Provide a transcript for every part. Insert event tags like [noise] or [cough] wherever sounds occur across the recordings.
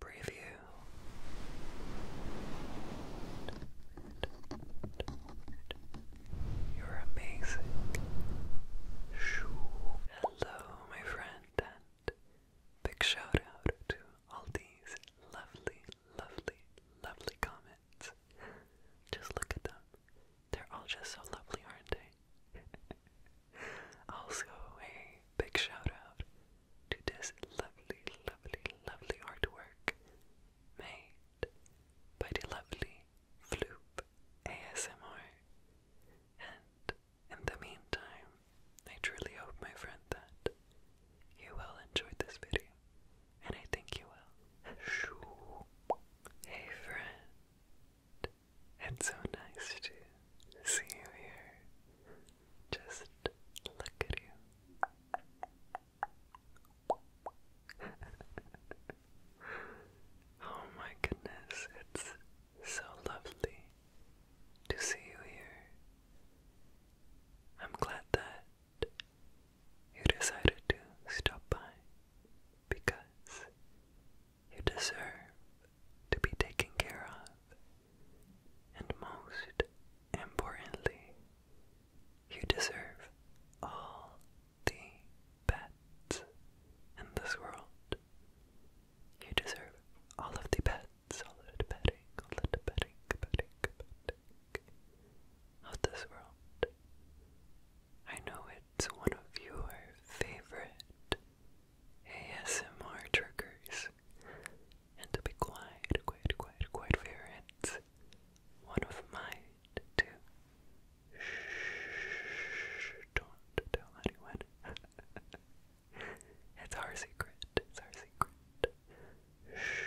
Preview. You're amazing. Hello, my friend, and big shout out to all these lovely, lovely, lovely comments. Just look at them. They're all just so lovely, aren't they? [laughs] also, a big shout out to this lovely, lovely, lovely artwork made by the lovely Floop ASMR. And in the meantime, I truly hope, my friend, that you will enjoy this video. And I think you will. Hey, friend. It's so nice to see you here. Just look at you. [laughs] oh my goodness, it's so lovely to see you here. I'm glad that you decided to stop by because you deserve to be taken care of. And most importantly, you deserve all the pets in this world. You deserve all of the pets, all of the petting, all of the petting, petting, petting of this world. I know it's one of your favorite ASMR triggers, and to be quite, quite, quite, quite fair, it's one of mine to shh, don't tell anyone. [laughs] it's our secret. It's our secret. Shh.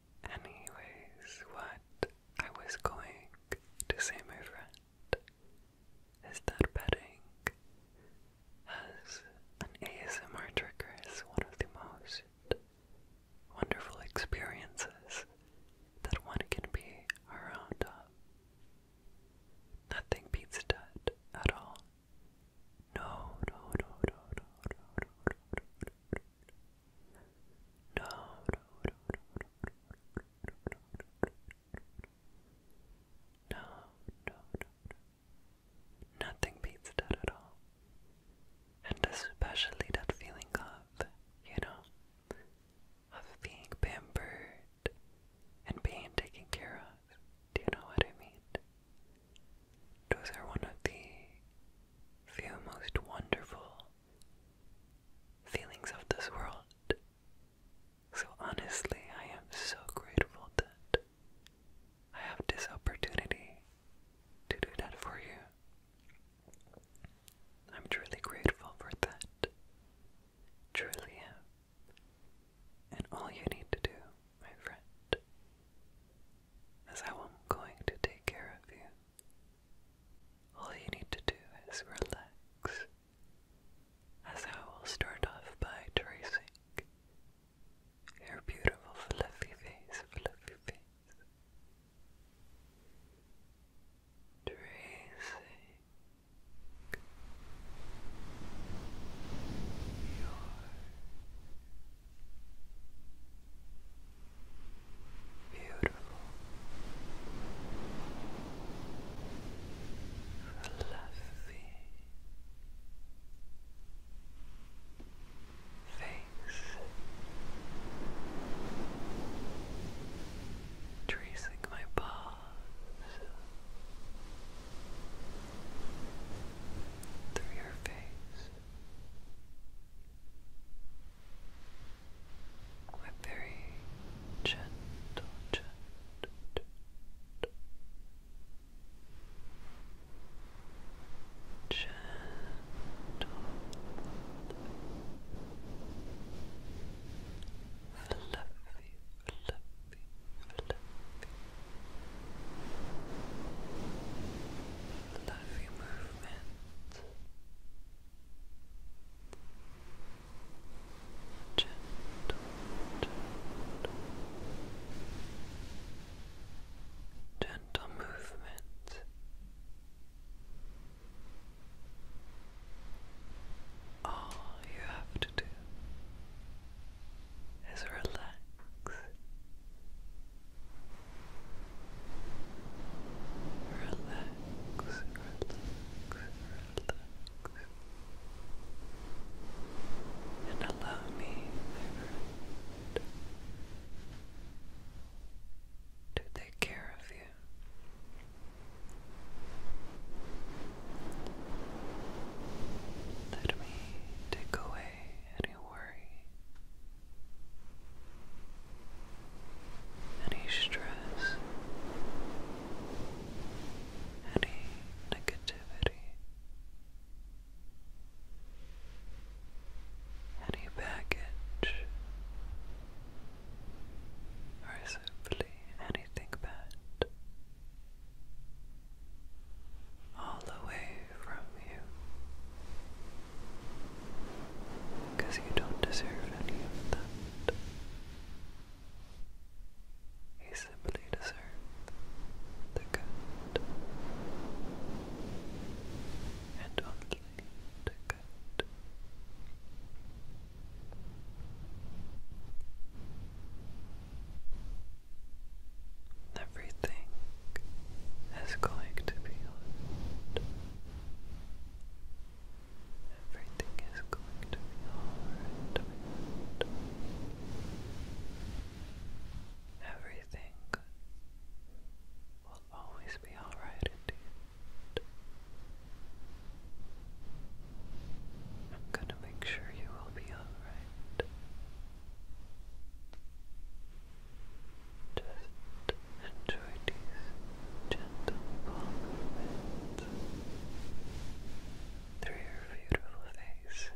Anyways, what I was going to say, my friend, is that petting as an ASMR trigger is one of the most wonderful experiences that one can be around of. Nothing beats that at all. No, no, no, no, no, no, no, no, no, no, no, no, no, no. Nothing beats that at all. And especially that feeling of, you know, of being pampered and being taken care of. Do you know what I mean? Those are one of the few most wonderful feelings of this world. So honestly, I am so grateful that I have this opportunity to do that for you. I'm truly grateful for that. Truly am. And all you need to do, my friend, is how I am going to take care of you. All you need to do is relax, as I will start off by tracing your beautiful fluffy face, fluffy face. Tracing your Beautiful. Fluffy. Face. Tracing my paws through your face. We're very gentle, gentle, gentle, gentle, fluffy, fluffy, fluffy. movement gentle, gentle, movement. All you have to do is relax relax, And allow me, to take care of you. Let me take away any worry any stress, any negativity, any baggage, or anything bad. All away from you, because you don't deserve any of that. You simply deserve the good. And only the good. Everything is going to be good. Everything is going to be alright. Everything will always be alright indeed. I'm gonna make sure you will be alright. Just enjoy these gentle palm through your beautiful face.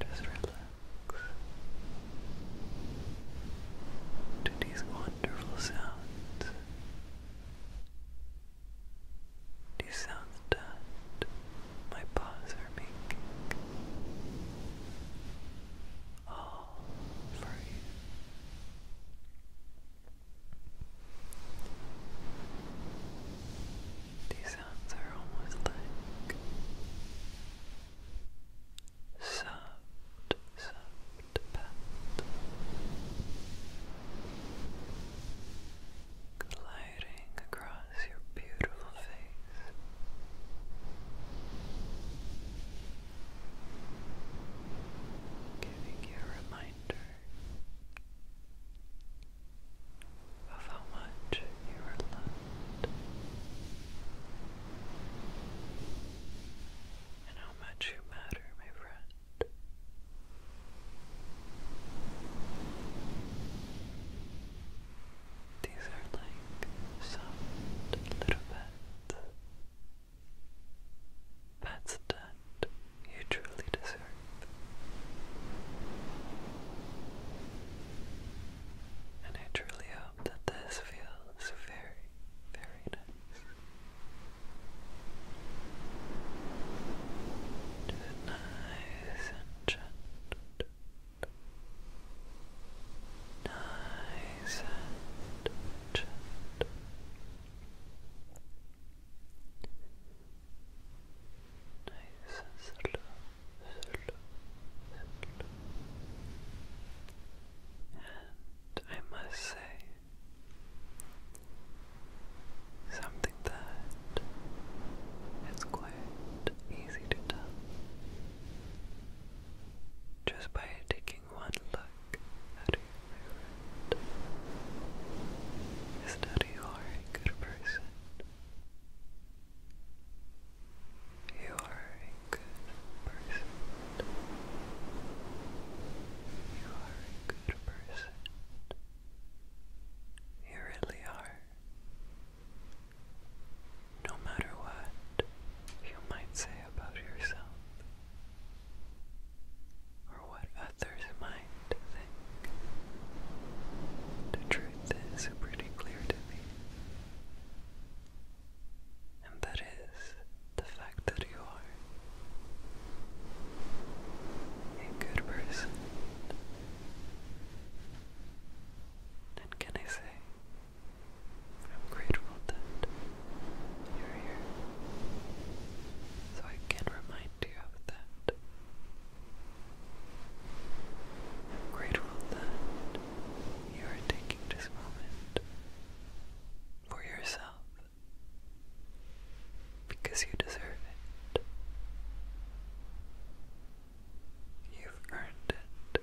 Just relax to these wonderful sounds. These sounds that my paws are making. All these sounds are almost like soft, soft pets gliding across your beautiful face. Giving you a reminder of how much you are loved and how much you matter, my friend. These are like soft little bits. Pets that you truly deserve. And I truly hope that this feels very, very nice. Do and gentle nice and gentle. Nice and slow, slow, slow. And I must say something that quite easy to tell just by taking one look at you, my is that you are a good person. You are a good person. You are a good person. You really are. No matter what you might say about yourself, or what others might think, the truth is pretty clear to me. And that is the fact that you are a good person. And can I say, I'm grateful that you're here so I can remind you of that. I'm grateful that you are taking this moment for yourself because you deserve it. You've earned it.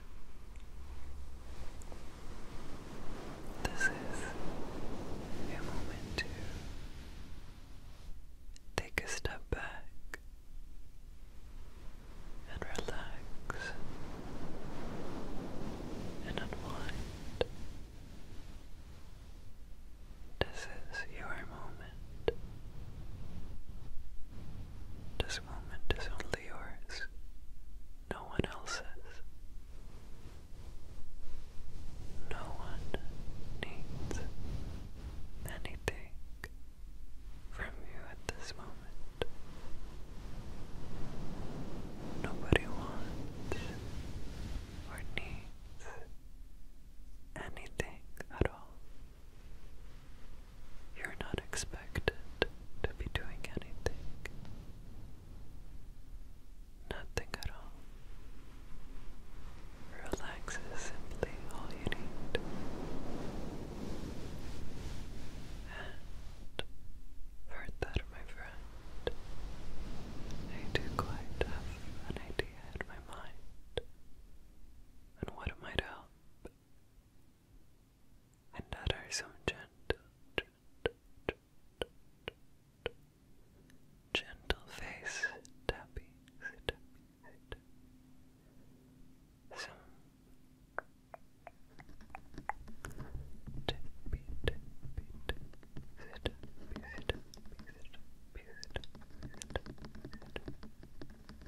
This is a moment to take a step back and relax and unwind. This is your moment. This moment is only yours, no one else's. No one needs anything from you at this moment. Nobody wants or needs anything at all. You're not expected to be doing anything. Nothing at all. Relax is simply all you need. And for that, my friend, I do quite have an idea in my mind on what it might help and utter some gentle, gentle, gentle, face tapping, tapping, tapping. Some tappy, tappy, tappy, tappy, tappy, tappy, tappy, tappy, tappy, tappy, tappy, tappy, tappy, tappy, tappy, tappy, tappy, tappy,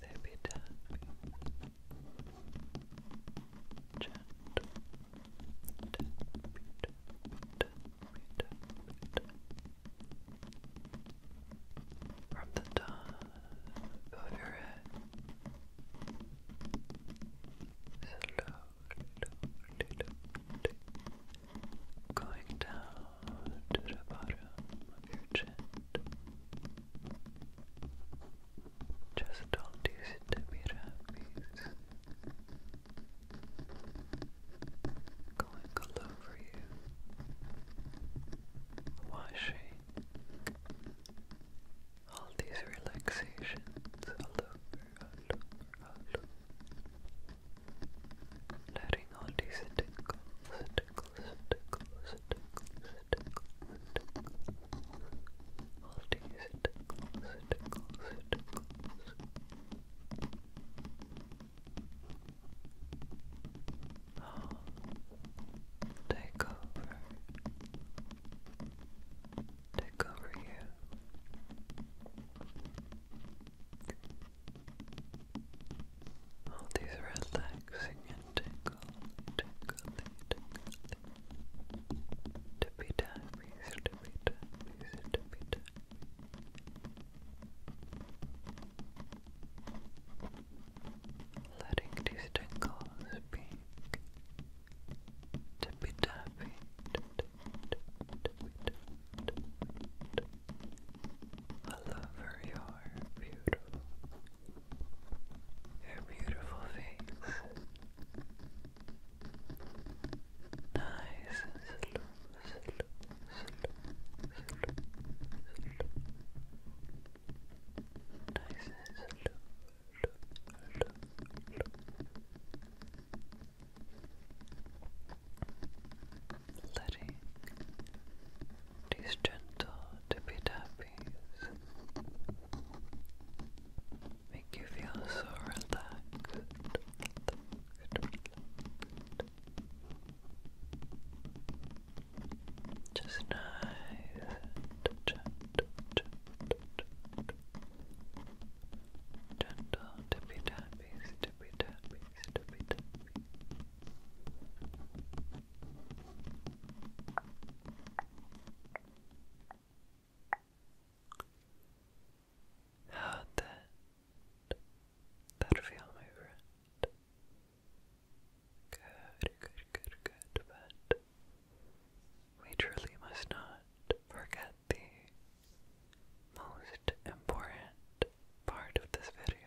Maybe tapping. Gentle. Tapping, tapping, tapping, tapping, tapping. From the top of your head. Slowly, slowly, slowly going down to the bottom of your chin. Just don't use it Going all over you, washing all these relaxations all over, all over, all over letting all these tickles, tickles, tickles, tickles, tickles, tickles, all these tickles, tickles, tickles. Oh, take over, take over you. All these relaxing and tickly, tickly, tickly. Tippy tappies, tippy tappies, tippy tappies. Letting these tingles be tippy tappy, tippy tappy, tippy tappy all over your beautiful, your beautiful face. Nice letting these gentle tippy tappies make you feel so relaxed. Just nice gentle, gentle, gentle tippy tappies, tippy tappies, tippy tappies. How'd that feel, my friend? Good, good, good, good, but we truly must not forget the most important part of this video,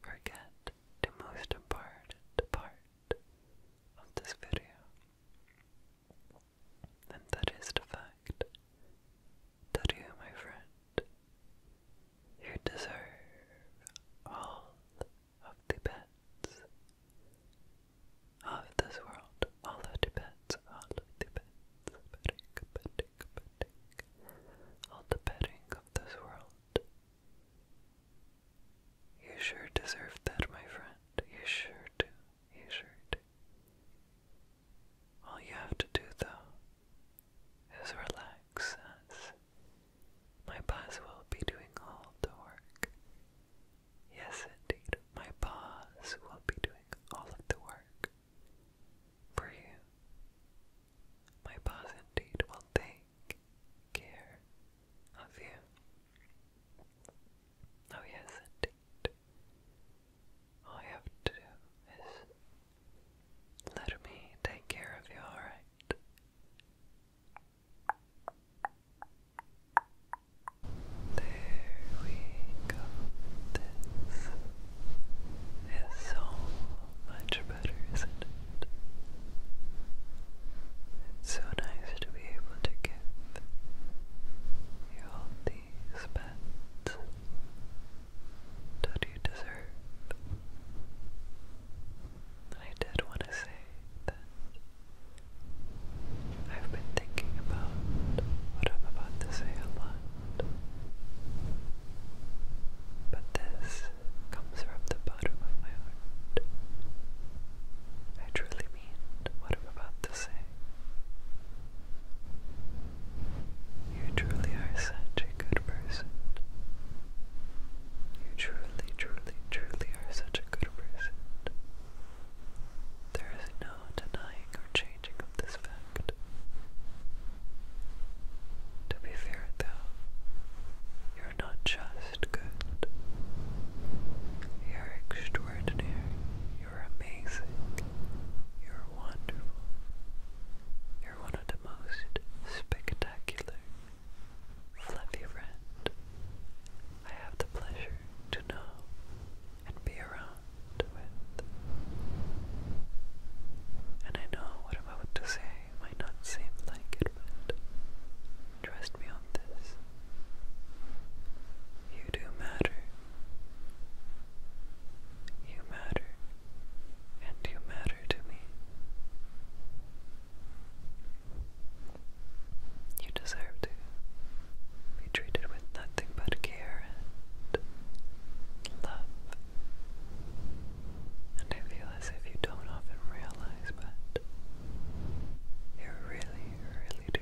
forget the most important part of this video, and that is the fact that you, my friend, you deserve all of the bets of this world, all of the pets, all the pets, all the petting of this world you sure deserve that, my friend. You sure do. You sure do. All you have to do, though, is relax as my boss will be doing all the work. Yes, indeed, my boss will be doing all of the work for you. My boss, indeed, will they take care of you. Oh, yes, indeed. All you have to do is let me take care of you, alright? There we go. This is so much it's so nice to be able to give you all these pets that you deserve. I did want to say that I've been thinking about what I'm about to say a lot. But this comes from the bottom of my heart. I truly mean what I'm about to say. You truly are such a good person. You truly, truly, truly are such a good person. There is no denying or changing of this fact. To be fair, though, your you're not just good. You're extraordinary. You're amazing. You're wonderful. You're one of the most spectacular, fluffy friend I have the pleasure to know and be around with. And I know what I'm about to say it might not seem like it, but trust me on this. You do matter. You matter. And you matter to me. You deserve to be treated with nothing but care and love. And I feel as if you don't often realize, but you really, really do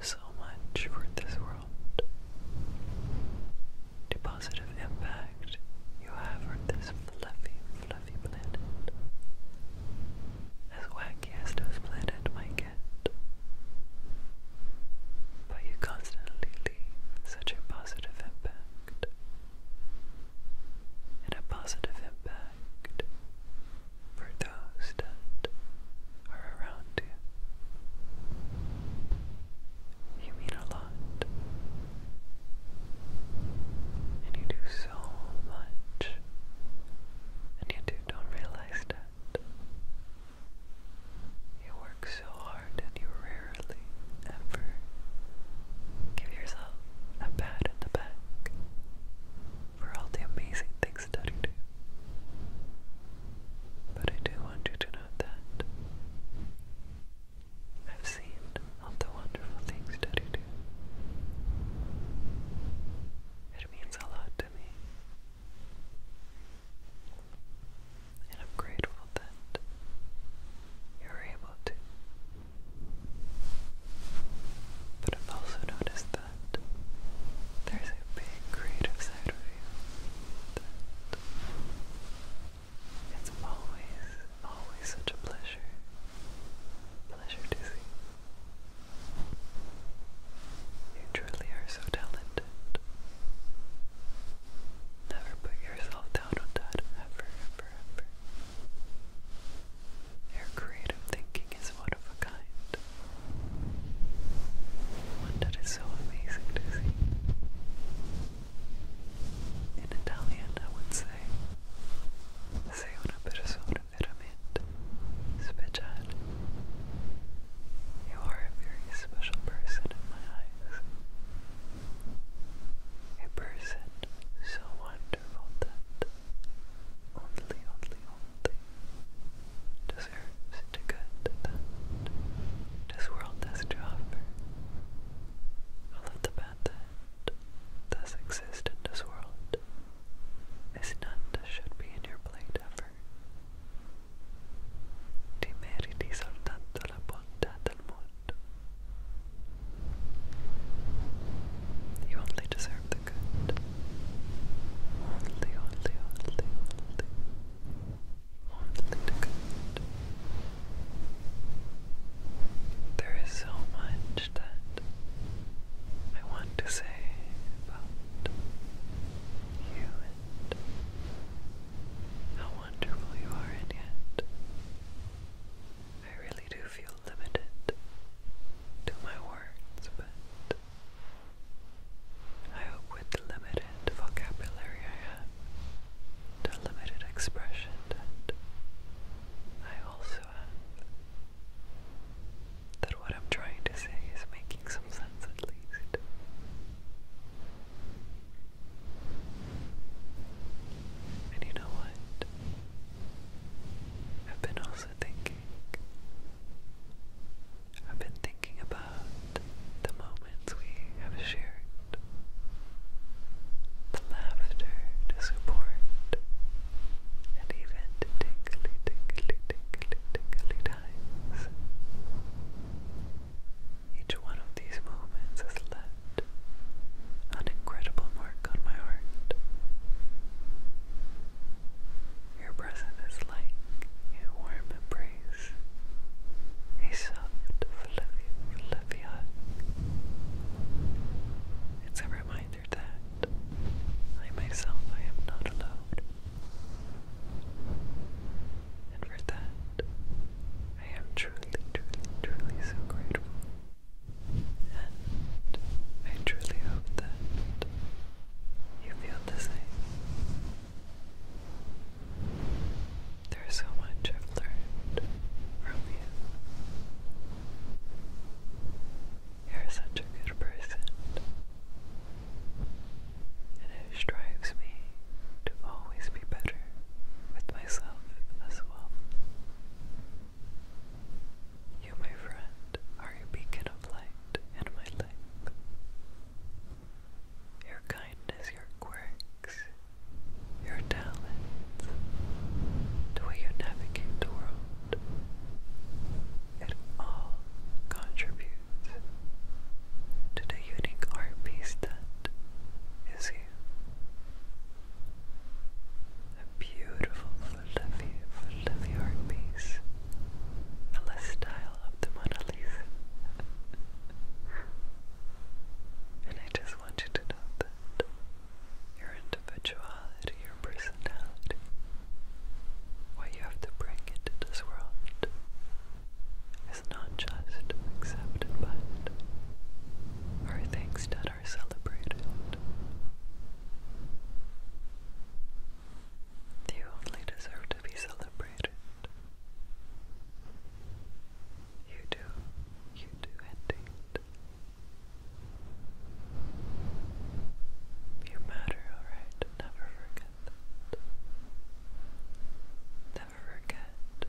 so much for this world. The impact you have on this fluffy, fluffy planet. As wacky as this planet might get. But you constantly leave such a positive impact and a positive impact for those that are around you. You mean a lot. And you do so much. And you do don't realize that. You work so hard and you rarely ever give yourself a pat in the back for all the amazing things that you do. But I do want you to know that I've seen all the wonderful things that you do. It means a lot to me. And I'm grateful that you're able to but I've also noticed that there's a big creative side of you it's always, always such a pleasure, pleasure to see. You truly are so talented. Never put yourself down on that ever, ever, ever. Their creative thinking is one of a kind, one that is so amazing to see. In Italian, I would say, sei una persona veramente speciale. You are a very special person in my eyes a person so wonderful that only, only, only deserves the good that this world has to offer. All of the bad that does exist in this world is none that should be in your plate ever. Ti meriti soltanto la bontà del mondo. You only deserve the good. Only, only, only, only. the good. There is so much that I want to say about you and how wonderful you are, and yet I really do feel limited to my words, but I hope with the limited vocabulary I have, the limited expression that I also have, that what I'm trying to say is making some sense at least. And you know what? I've been also thinking. I've been thinking about the moments we have shared, the laughter to support, and even the tingly, tingly, tingly, tingly times. Each one of these moments has left an incredible mark on my heart. Your present is like a warm embrace, a soft, fluffy, It's a reminder that I myself, I am not alone. And for that, I am truly, truly, truly so grateful. And I truly hope that you feel the same. There's so much I've learned from you. You're such a good person. And it drives me to always be better with myself as well. You, my friend, are a beacon of light in my life. Your kindness, your quirks, your talents, the way you navigate the world, it all contributes to the unique art piece that is you. A beautiful fluffy, fluffy piece. A style of the Mona Lisa. [laughs] and I just want you to know that your individuality, your personality, what you have to bring into this world is not just accepted but or thanks to are celebrated. You only deserve to be celebrated. You do, you do indeed. You matter, alright? Never forget that. Never forget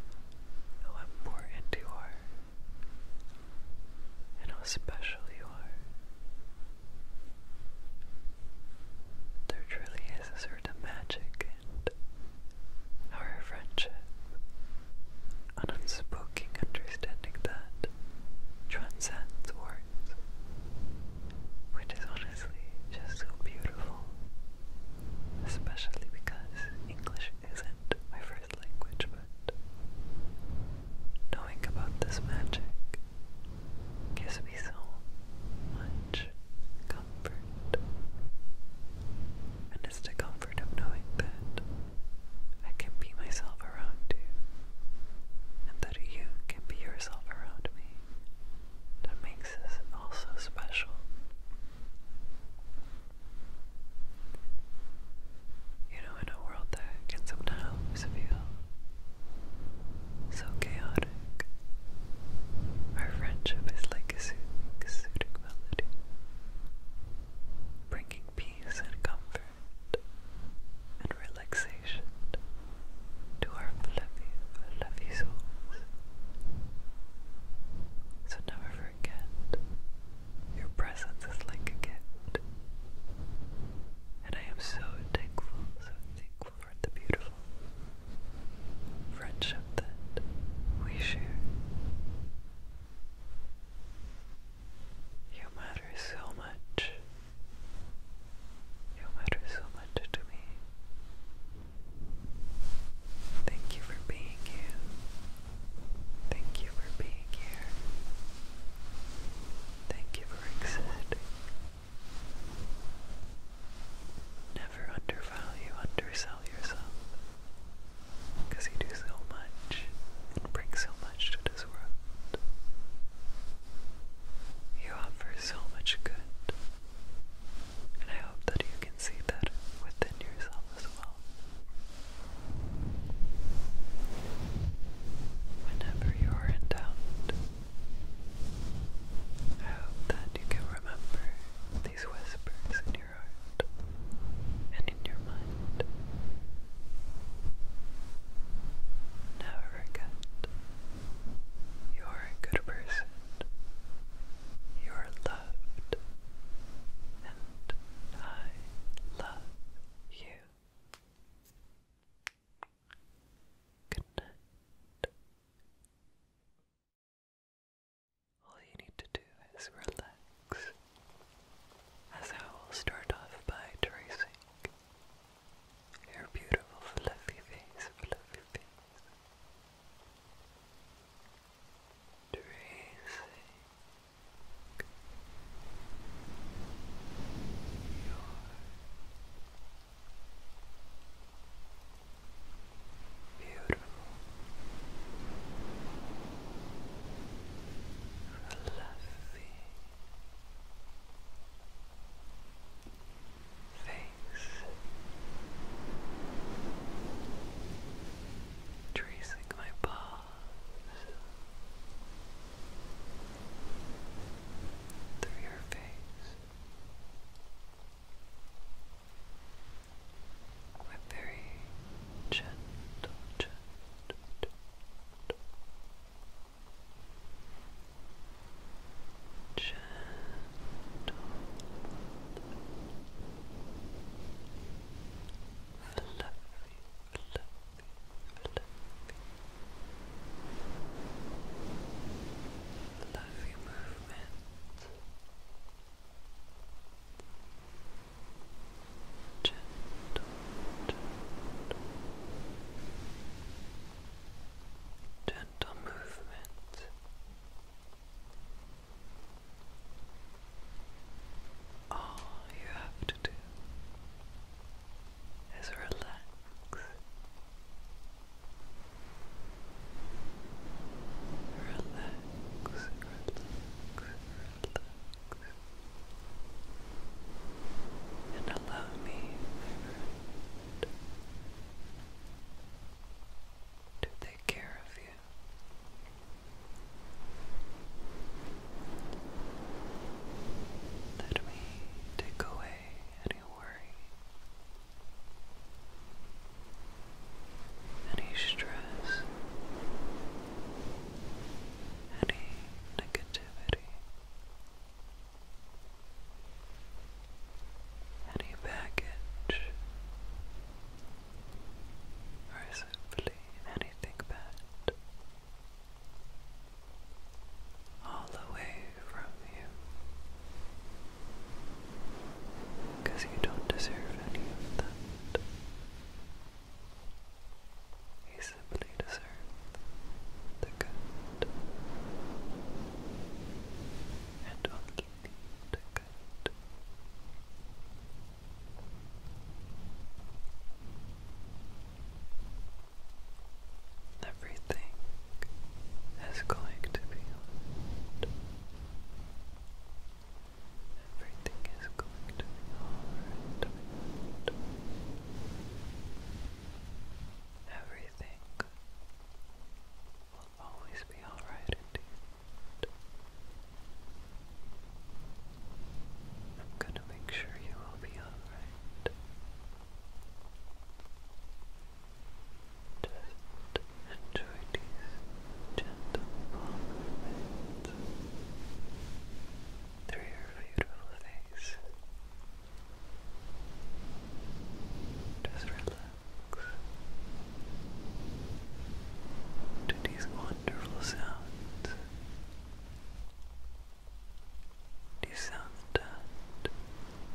how important you are and how special you are. There truly is a certain magic in our friendship, an unspoken understanding that transcends words, which is honestly just so beautiful, especially because English isn't my first language, but knowing about this magic gives me so much comfort. And it's the comfort of knowing that I can be myself around you, and that you can be yourself around me. That makes this also special. You know, in a world that can sometimes feel so chaotic, our friendship is like a soothing, melody, bringing peace and comfort and relaxation to our fluffy, fluffy souls. So never forget your presence is like a gift. And I am so thankful, so thankful for the beautiful friendship that we share. You matter so much. You matter so much to me. Thank you for being you. Thank you for being here. Thank you for existing. Never undervalue, undersell yourself. Because you do so much and bring so much to this world. You offer so much good. And I hope that you can see that within yourself as Whenever you are in doubt, I hope that you can remember these whispers in your heart and in your mind. Never forget you are a good person, you are loved and I love you. Good All you need to do is relax, as I will start off by tracing your beautiful fluffy face, fluffy face. Tracing Beautiful, fluffy face, tracing my path through your face with very gentle, gentle. Gentle fluffy, fluffy, fluffy, fluffy movement. Gentle, gentle, movement. All you have to do is relax. Relax, relax, And allow me, to take care of you. Let me take away any worry, any stress, any negativity, any baggage or is anything bad all away from you because you don't deserve any of that. You simply deserve the good and only the good. Everything is going to be alright. Everything is going to be alright. Everything will always be alright I'm gonna make sure you will be alright. Just enjoy these gentle movements through your beautiful face. Just relax to these wonderful sounds. These sounds that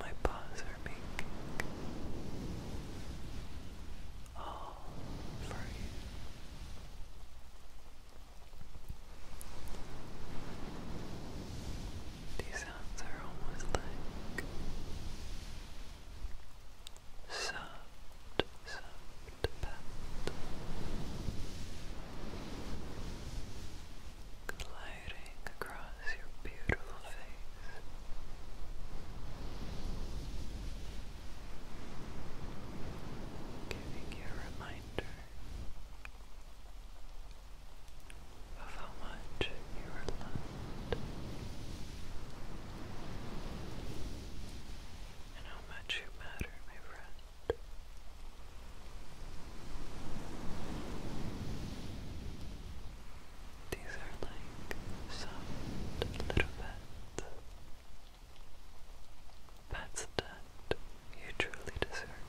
my paws are making. All for you. These sounds are almost like soft, soft pat, gliding across your beautiful face. Giving you a reminder of how much you are loved, and how much you matter, my friend. These are like soft little pets. that you truly deserve.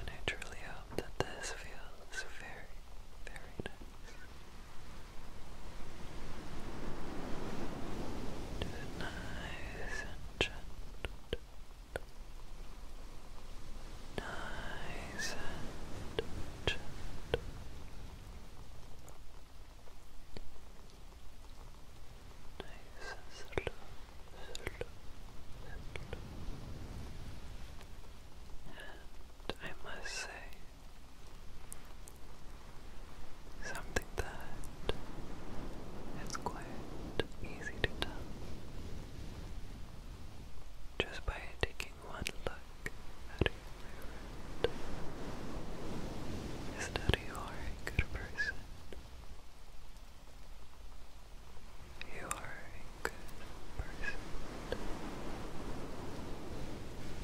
And I truly hope that this feels very, very nice. Do it nice and gentle. Nice and gentle. Nice and slow, slow, slow. I must say. Something that is quite easy to tell just by taking one look at your is that you are a good person. You are a good person.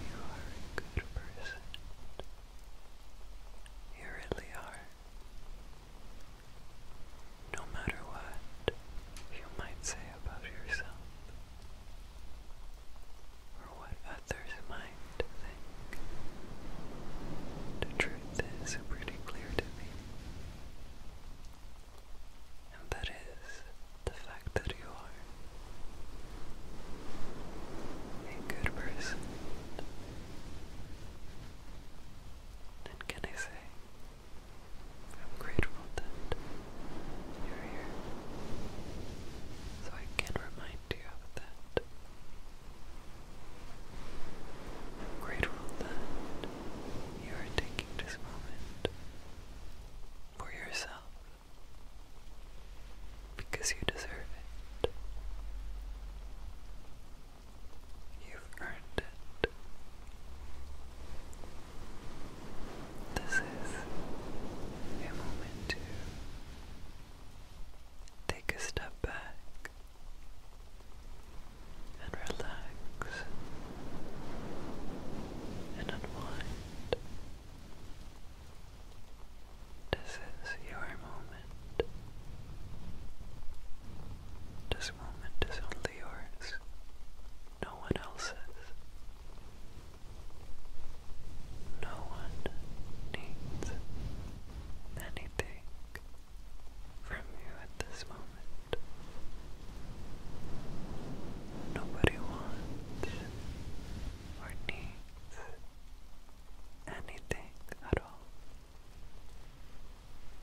You are a good person. You really are. No matter what you might say about yourself, or what others might think, the truth is pretty clear to me and that is the fact that you are a good person. And can I say, I'm grateful that you're here, so I can remind you of that. I'm grateful that you are taking this moment for yourself because you deserve it. You've earned it. This is a moment to take a step back and relax and unwind. This is your moment. This moment is only yours, no one else's. No one needs anything from you at this moment. Nobody wants or needs anything at all.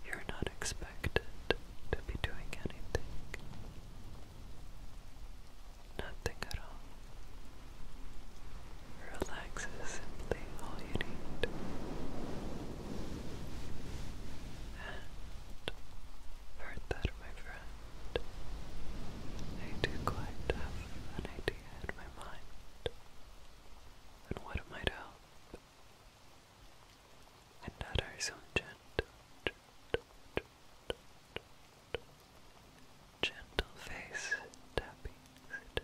You're not expected to be doing anything. Nothing at all. Relax is simply all you need. And heard that, my friend. I do quite have an idea in my mind on what it might help. And that are some gentle, gentle, face tappings.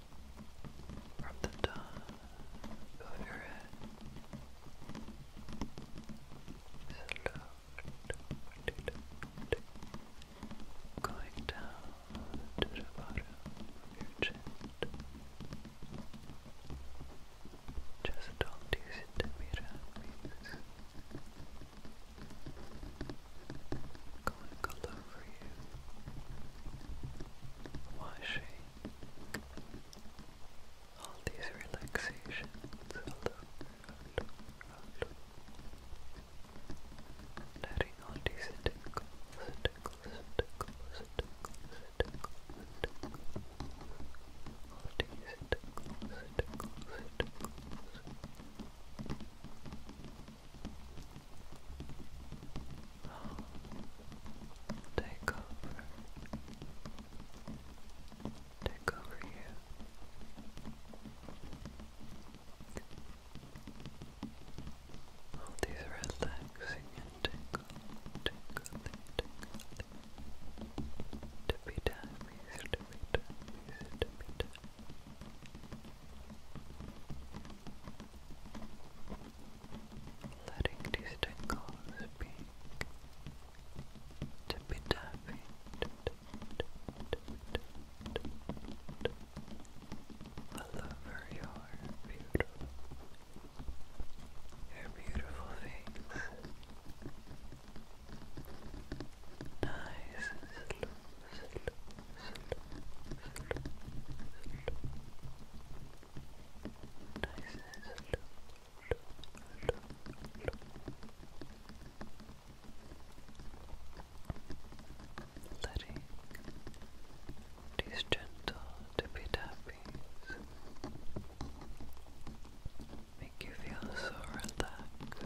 from the top of your head. Slowly, going down to the bottom of your chin. Just don't it to mirror, Going all over you, washing all these relaxations. all these tickles, tickles, tickles, tickles, tickles, tickles. All these Take over. Take over you. All these relaxing and tickle, tickling, tickling. To be done, easy to letting these tingles be tippy tappy. All over your beautiful, your beautiful face. Nice nicest letting these gentle tippy tappies make you feel so relaxed,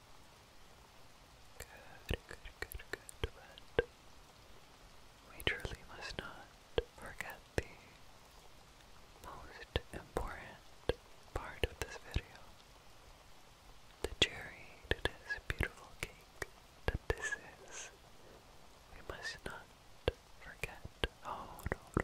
Good, good, good, good, but we truly must not forget the most important part of this video. The cherry to this beautiful cake that this is. We must not forget. Oh no,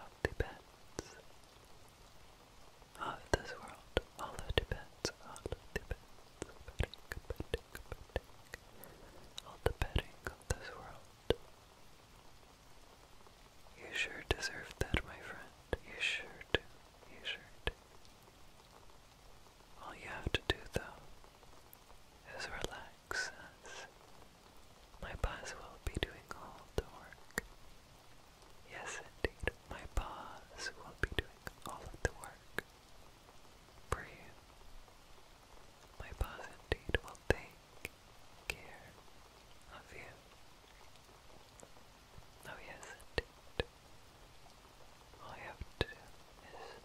of Tibet. Of this world, all of Tibet, all of Tibet, all the bedding of this world. You sure deserve that, my friend. You sure do. You sure do. All you have to do, though, is relax, my boss will be doing all the work. Yes, indeed, my paws will be doing all of the work for you. My paws indeed will take care of you. Oh, yes, indeed. All you have to do is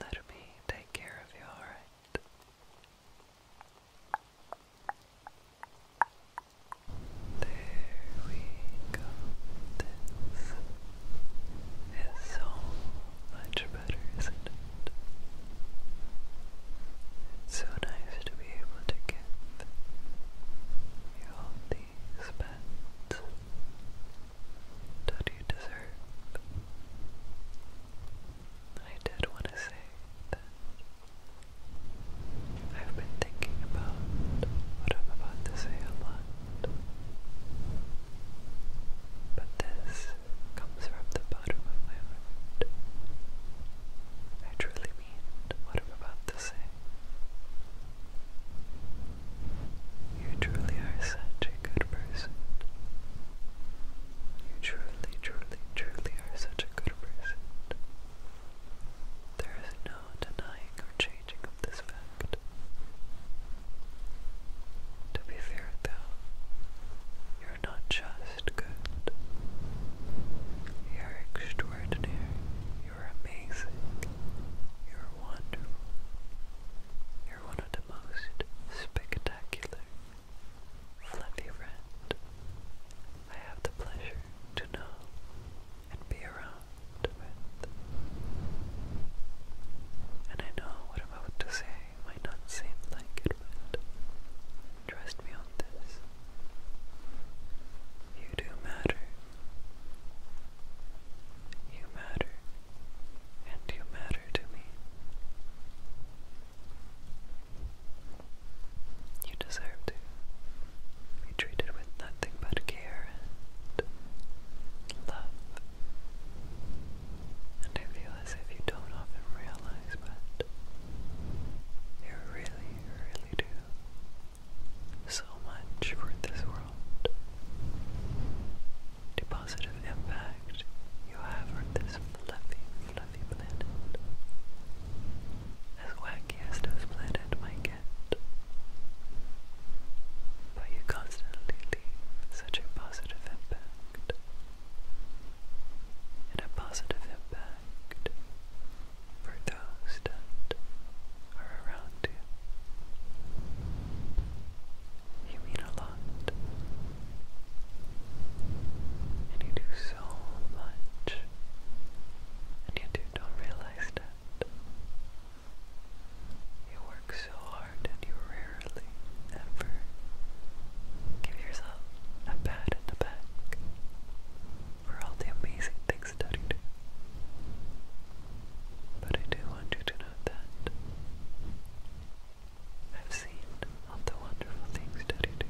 let me take care of you, alright? There we go. This is so much better, isn't it? It's so nice to be able to give you all these pets that you deserve. I did want to say that I've been thinking about what I'm about to say a lot. But this comes from the bottom of my heart. I truly mean what I'm about to say. You truly are such a good person. You truly, truly, truly are such a good is no denying or changing of this fact. To be fair, though, you're not just good. You're extraordinary. You're amazing. You're wonderful. You're one of the most spectacular fluffy friend I have the pleasure to know and be around with. And I know what I'm about to say might not seem like it, but trust me on this. You do matter. You matter, and you matter to me. You deserve to be treated with nothing but care and love. And I feel as if you don't often realize, but you really, really do so much for this world. The positive impact you have on this fluffy, out As wacky as this planet might get. But you constantly leave such a positive impact. And a positive impact for those that are around you. You mean a lot. And you do so much, and you do not realize that. You work so hard and you rarely ever give yourself a pat in the back for all the amazing things that you do. But I do want you to know that I've seen of the wonderful things that you do.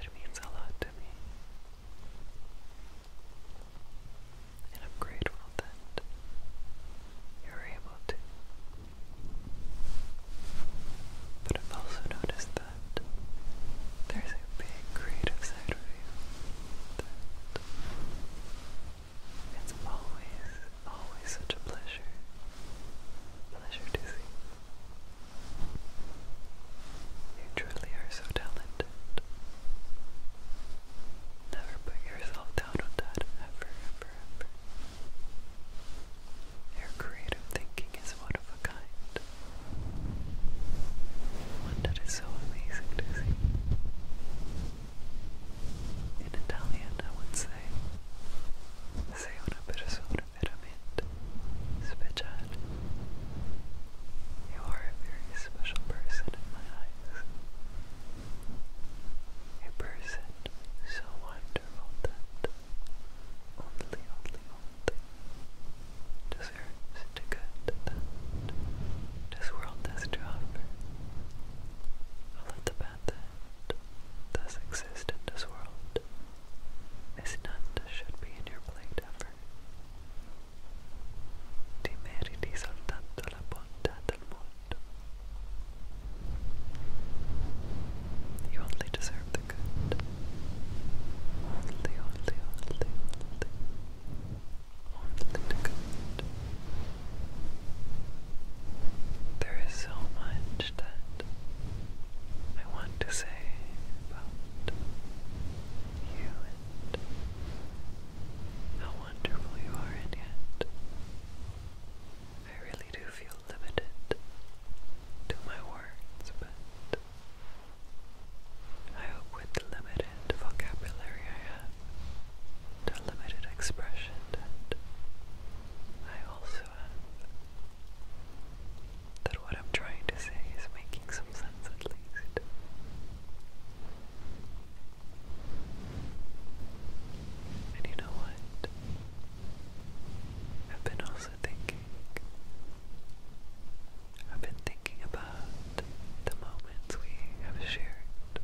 It means a lot to me. And I'm grateful that you're able to. But I've also noticed that there's a big creative side of you that it's always Always such a pleasure. Pleasure to see. You truly are so talented. Never put yourself down on that ever, ever, ever. Your creative thinking is one of a kind. One that is so amazing to In Italian, I would say, sei una persona sono veramente You are a very special person in my eyes. A person so wonderful that only, only, only deserves the good that this world has to offer. All of the that does exist in this world is none that should be in your plate ever. You only deserve the good. Only, only, only, only. Only the good. There is so much that I want to say about you and how wonderful you are, and yet I really do feel limited to my words, but I hope with the limited vocabulary I have, the limited expression that I also that what I'm trying to say is making some sense at least. And you know what? I've been also thinking, I've been thinking about the moments we have shared,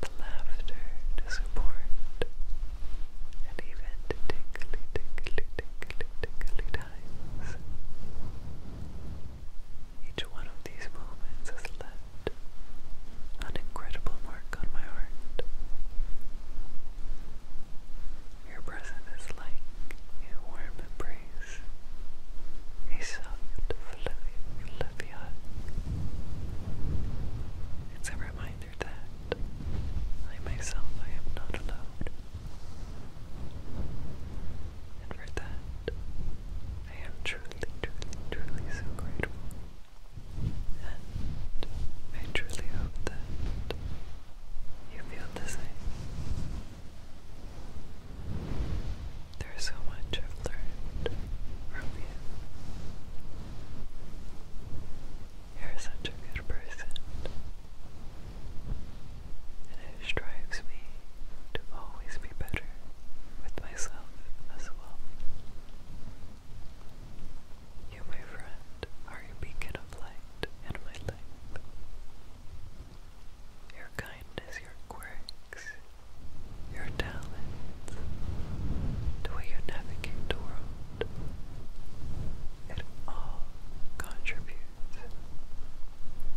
the laughter to support and even to tickly, tickly, tickly, tickly times. Each one of these moments has left an incredible mark on my heart. Your present is like a warm embrace, a soft, fluffy, fluffy hug. It's a reminder reminder that I myself, I am not alone. And for that, I am truly, truly, truly so grateful. And I truly hope that you feel the same. There's so much I've learned from you. You're such a good person, and it strives me to always be better with myself as well. You, my friend, are a beacon of light in my life. Your kindness, your quirks, your talents, the way you navigate the world it all contributes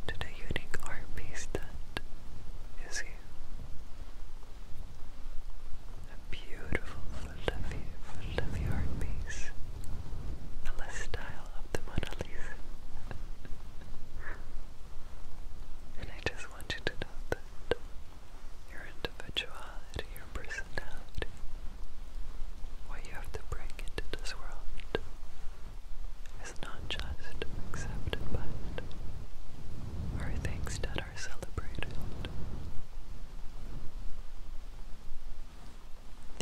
to the unique art piece that is you. A beautiful, fluffy, fluffy art piece. And style of the Mona Lisa. [laughs] and I just want you to know that your individuality, your personality, what you have to bring into this world is not just accepted, but are things that are celebrated.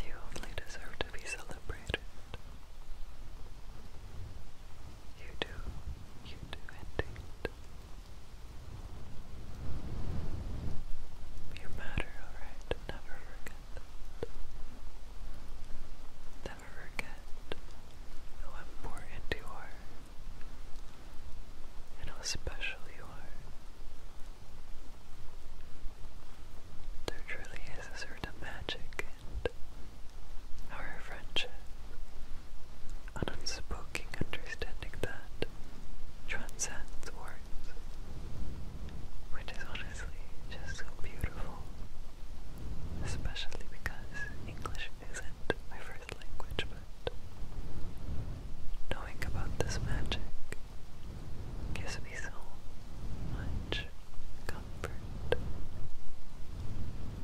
You only deserve to be celebrated. You do, you do indeed. You matter, alright? Never forget Never forget how important you are and how special you are. There truly is a certain magic in our friendship an unspoken understanding that transcends words, which is honestly just so beautiful, especially because English isn't my first language, but knowing about this magic gives me so much comfort.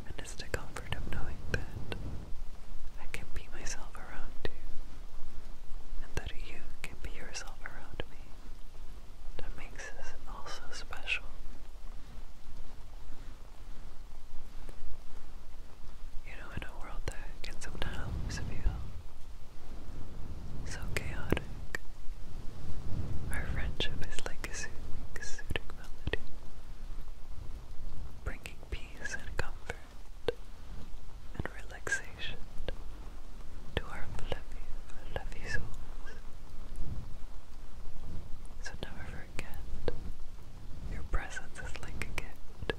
And it's the comfort comfort of knowing that I can be myself around you and that you can be yourself around me. That makes this all so special. You know, in a world that can sometimes feel so chaotic, our friendship is like a soothing, soothing melody, bringing peace and comfort and relaxation to our fluffy, fluffy souls. So never forget, your presence is like a gift.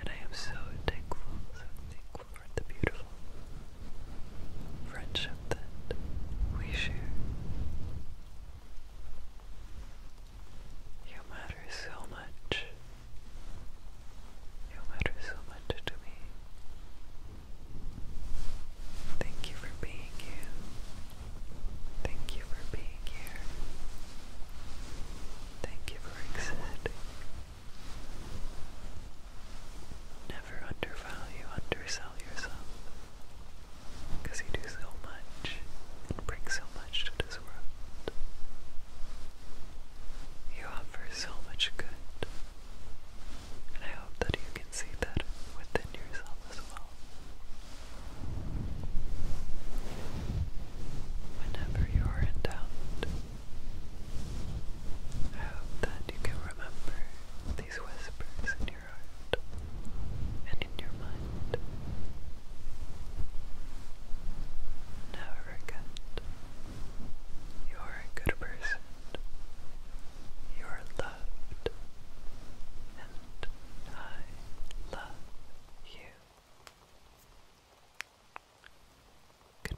And I am so thankful, so thankful for the beautiful friendship that we share. You matter so much. You matter so much to me. Thank you for being you. Thank you for being here. Thank you for existing. Never undervalue, undersell yourself. Because you do so much and bring so much to this You offer so much good, and I hope that you can see that within yourself as well. Whenever you are in doubt, I hope that you can remember these whispers in your heart and in your mind good. Never good. You are a good person. You are loved. And I love you. Good